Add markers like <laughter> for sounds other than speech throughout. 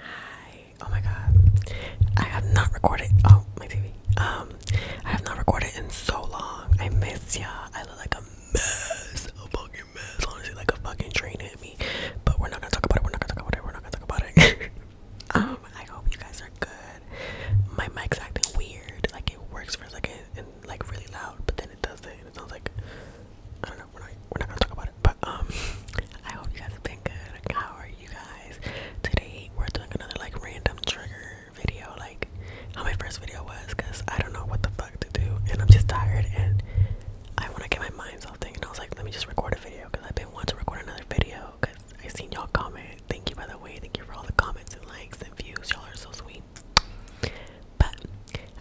Hi. Oh my god. I have not recorded. Oh, my TV. Um, I have not recorded in so long. I miss y'all. I look like a mess. A fucking mess. Honestly, like a fucking train hit me. But we're not gonna talk about it. We're not gonna talk about it. We're not gonna talk about it. <laughs> um, I hope you guys are good. My mic's acting weird. Like it works for a second and like really loud, but then it doesn't. It sounds like I don't know. We're not we're not gonna talk about it. But um, <laughs> I hope you guys have been good. How are you guys? Today we're doing another like random trigger video, like how my first video was, cause I don't know what the fuck to do, and I'm just tired, and I want to get my mind off thing. And I was like, let me just record a video, cause I've been wanting to record another video, cause I seen y'all comment. Thank you by the way. Thank you for all the comments and likes and views. Y'all are so sweet. But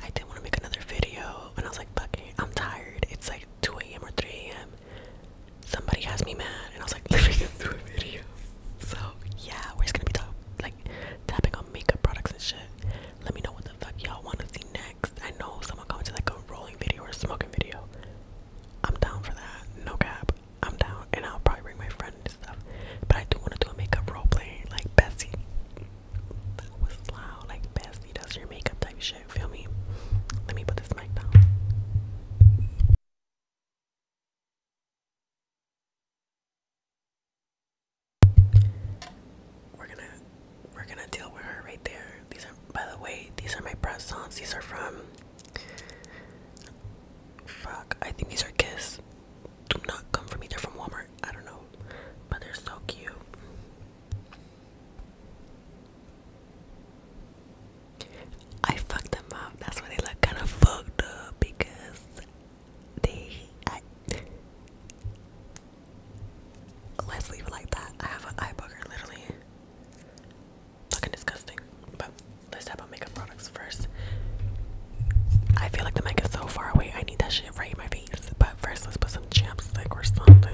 I did want to make another video, and I was like, "Fuck eh, I'm tired. It's like 2 a.m. or 3 a.m." Somebody has me mad, and I was like, <laughs> "Let me just do a video." So yeah, we're just gonna be talking like tapping on makeup products and shit. Let me know what the fuck y'all want to see next. I know someone commented like a rolling video or a smoking video. I'm down for that. No cap. I'm down, and I'll probably bring my friend and stuff. But I do want to do a makeup role play, like Bessie. That was loud, like Bessie does your makeup type shit. Feel me? Let me put this mic down. We're gonna we're gonna deal with her right there. These are by the way, these are my press-ons. These are from Fuck, I think these are Kiss. Do not come for me, they're from Walmart. I don't know but they're so cute. I fucked them up. That's why they look kind of fucked up because they. I, Let's leave like that. I have an eye booger, literally. Fucking disgusting. But let's talk about makeup products first. I feel like the mic is so far away. I need that shit right in my face. But first, let's put some chapstick or something.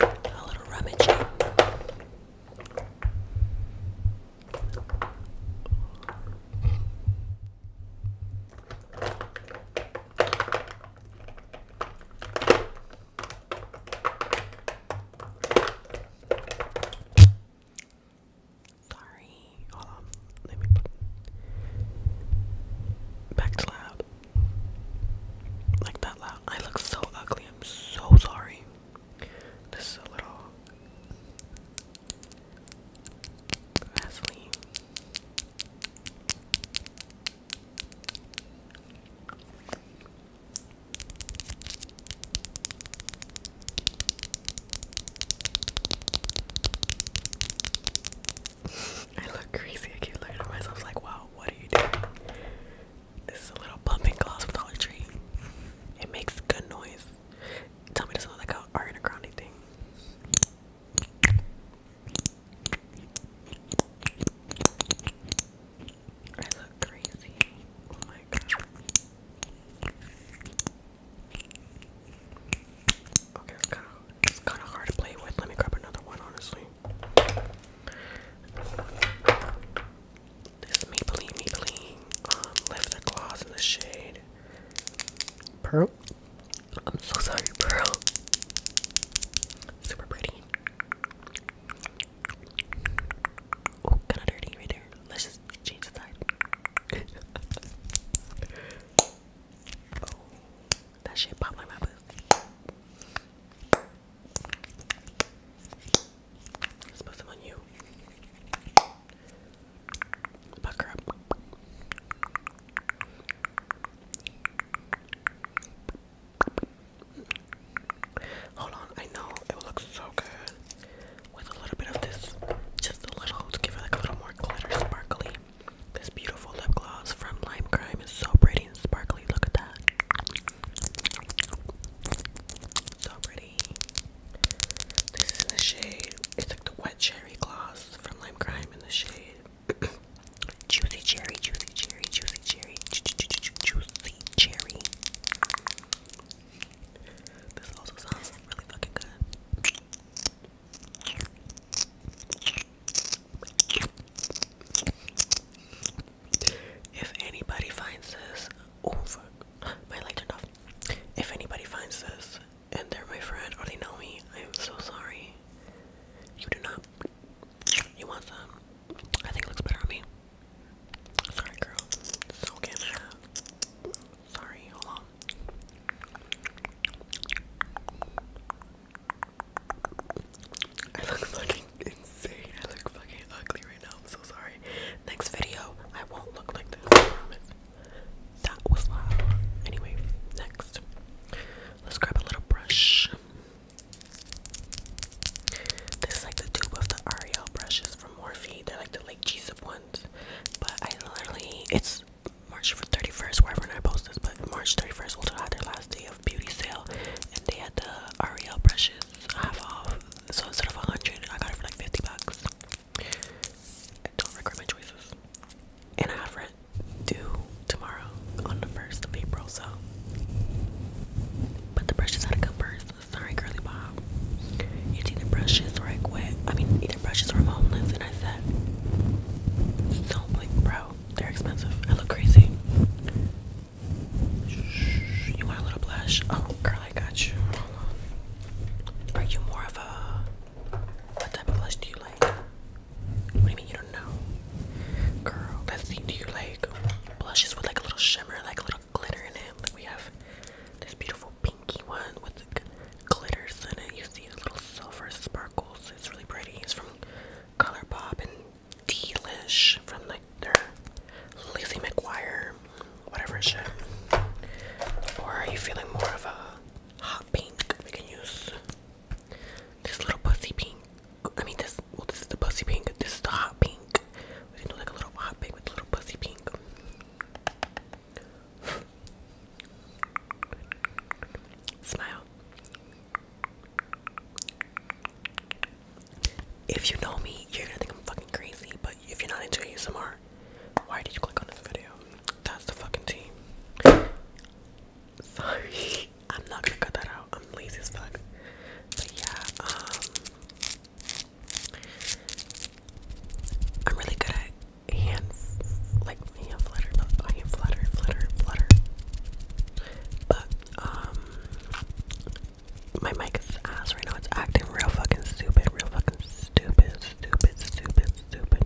A little rummage. Sorry. Let me back to loud. Like that loud. I look so ugly. I'm so sorry. This is a little Vaseline. I look crazy. I keep looking at myself like, wow, what are you doing? This is a little pumping gloss from Dollar Tree. It makes good noise. Tell me this sounds like a Ariana thing. I look crazy. Oh my god. Okay, it's kinda it's kinda hard to play with. Let me grab another one honestly. This is Maybelline Maybelline um Lift the Gloss in the shade Pearl I'm so sorry, bro. Super pretty. Oh, kind of dirty right there. Let's just change the side. <laughs> Oh, that shit popped like my boot. Let's put you. Bucker up. Hold on, I know it looks so good with a little bit of this, just a little to give it like a little more glitter, sparkly. This beautiful lip gloss from Lime Crime is so pretty and sparkly. Look at that. So pretty. This is in the shade. It's like the wet cherry gloss from Lime Crime in the shade <coughs> juicy cherry, juicy cherry, juicy cherry, ju ju ju ju juicy cherry. This also sounds really fucking good. If anybody finds this, oh fuck, <gasps> my light turned off. If anybody finds this and they're my friend, or oh, they know me. I am so sorry. You do not. You want some? I think it looks better on me. Sorry, girl. So can I? Sorry, hold on. I look fucking insane. I look fucking ugly right now. I'm so sorry. Next video, I won't look like this. I promise. That was loud. Anyway, next. Let's grab a little brush. This is like the tube of the Ariel brushes from Morphe. They're like the like Jesus ones. But I literally, it's March 31st, wherever I post this, but March 31st will have their last day of beauty sale. And they had the Ariel brushes half off. So instead of 100, I got it for like 50 bucks. I don't regret my choices. And I have rent due tomorrow on the 1st of April, so. But the brushes had to come first. Sorry, Curly Bob. It's either brushes or I quit. I mean, either brushes or I'm homeless. And I said, don't blink, bro. They're expensive. I look crazy. you want a little blush? Oh, girl, I got you. Hold you more of a what type of blush do you like? What do you mean you don't know? Girl, that's do you like blushes with like a little shimmer, like a little glitter in it? Like we have this beautiful pinky one with glitters in it. You see little silver sparkles. It's really pretty. It's from ColourPop and Delish from like their Lizzie McGuire whatever Or are you feeling more of a hot pink? We can use this little pussy pink. I mean, this. Well, this is the pussy pink. This is the hot pink. We can do like a little hot pink with a little pussy pink. <sighs> Smile. If you know me, you're gonna think I'm fucking crazy, but if you're not into ASMR, why did you click on this video? That's the fucking team. Sorry. <laughs> I'm not gonna cut that out. I'm lazy as fuck. But yeah, um I'm really good at hand like hand flutter, not flutter, flutter, flutter. But um my mic ass right now. It's acting real fucking stupid, real fucking Stupid, stupid, stupid, stupid.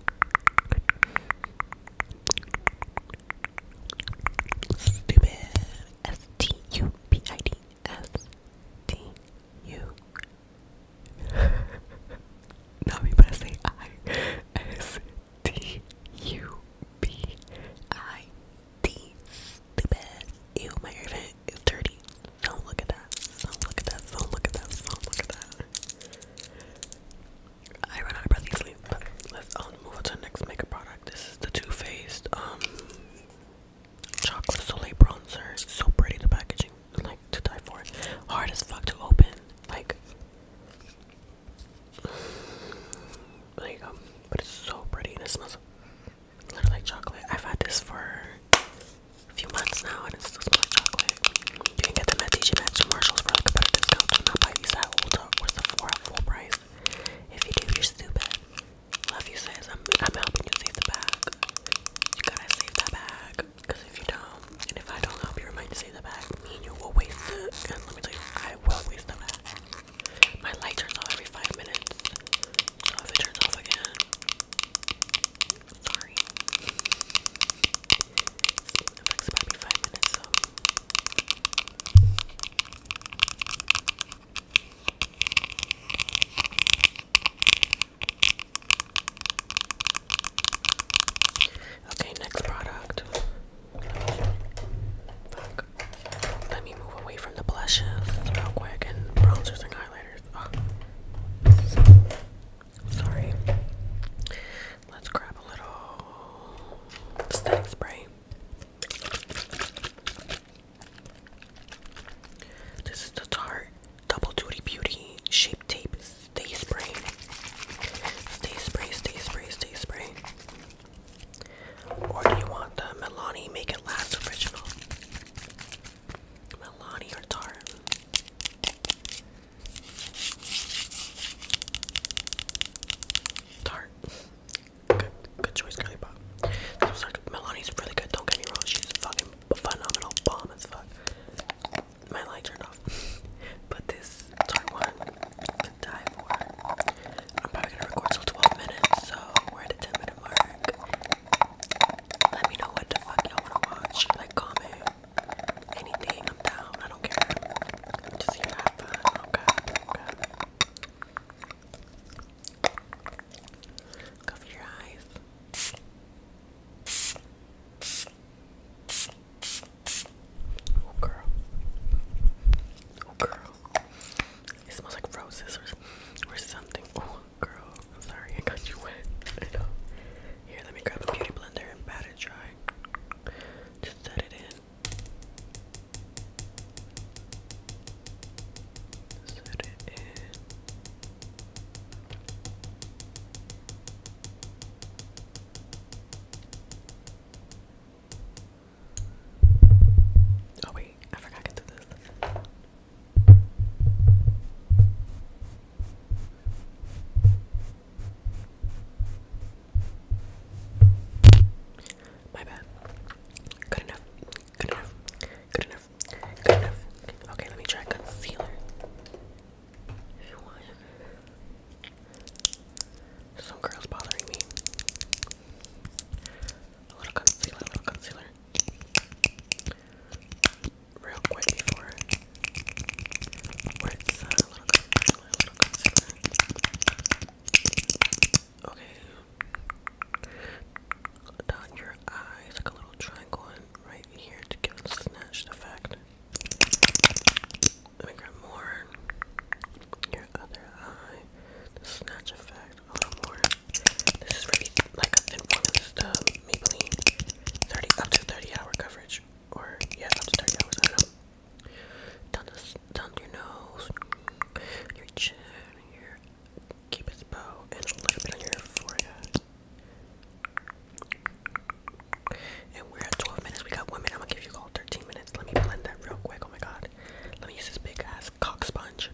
Stupid. S T U P I D. S T U. <laughs> Now we better say I. S T U P I D. Stupid. Ew, my earphone. It's dirty. Don't look at that. Don't look at that. Don't look at that. Don't look at that. I ran out of breath easily, but let's move on to the next makeup product. This is the Too Faced um, Chocolate Soleil Bronzer. It's so pretty the packaging, like to die for. Hard as fuck to open, like there you go. But it's so pretty and it smells literally chocolate. I've had this for a few months now and it's still smells like chocolate. You can get them at DJ Maxx Marshalls for like a better discount. Do not buy these at Ulta or Sephora at full price. If you do, you're stupid. Love you sis. I'm, helping you save the bag. You got save that bag. Because if you don't, and if I don't help you save the bag, me you will waste it. And let me tell you, I will waste the bag. My light turns off every five minutes. Oh, if it turns off again. Sorry. It takes five minutes, Okay, next product. Let me move away from the blushes real quick and bronzers and highlighters. Ah. sorry. Let's grab a little setting spray. This is the Tarte Double Duty Beauty Shape Tape Stay Spray. Stay Spray, Stay Spray, Stay Spray. Or do you want the uh, Milani Make It Last original? Milani or Tarte? Tarte. Good, good choice, Curly Pop. Milani's really good, don't get me wrong. She's fucking phenomenal, bomb as fuck. My light turned <laughs> off. but this Tarte one, the dive one, I'm probably gonna record till 12 minutes, so we're at the 10 minute mark. Let me know what the fuck you wanna watch. Like, comment, anything. I'm down. I don't care. Just here to have fun. Okay, okay. Cover your eyes. Oh girl. Oh girl. It smells like roses or, something. Oh, girl, sorry, I got you wet. Here, let me grab a beauty blender and pat it dry. Just set it in. Set it in. Oh wait, I forgot I can do this. My bad. Good enough. Good enough. Good enough. Good enough. Okay, let me try concealer. Some girls bothering me a little concealer, a little concealer. Real quick before uh, a little concealer, Okay. Down your eyes, like a little triangle right here to give a snatched effect. Let me grab more. Your other eye. snatch effect. A little more. This is really like in one Maybelline 30 up to 30 hour coverage. Or yeah, up to 30 hours, I don't know. Down, this, down your nose, your chin, your cupid's bow, and a little bit on your forehead. And we're at 12 minutes. We got one minute. I'm gonna give you all 13 minutes. Let me blend that real quick. Oh my god. Let me use this big ass cock sponge.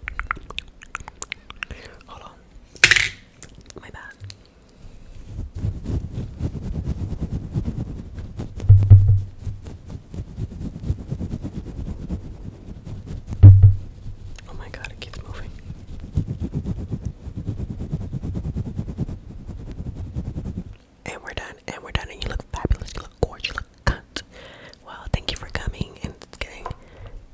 Hold on. My bad. Oh my god, it keeps moving. And we're done. And we're done. And you look fabulous. You look gorgeous. You look cut. Well, thank you for coming and getting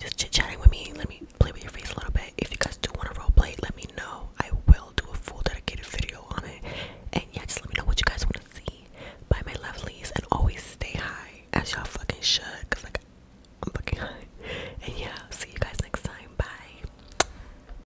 just chit chatting with me. Let me play with your face a little bit. If you guys do want to role play, let me know. I will do a full dedicated video on it. And yeah, just let me know what you guys want to see. Bye, my lovelies. And always stay high as y'all fucking should. Because, like, I'm fucking high. And yeah, see you guys next time. Bye.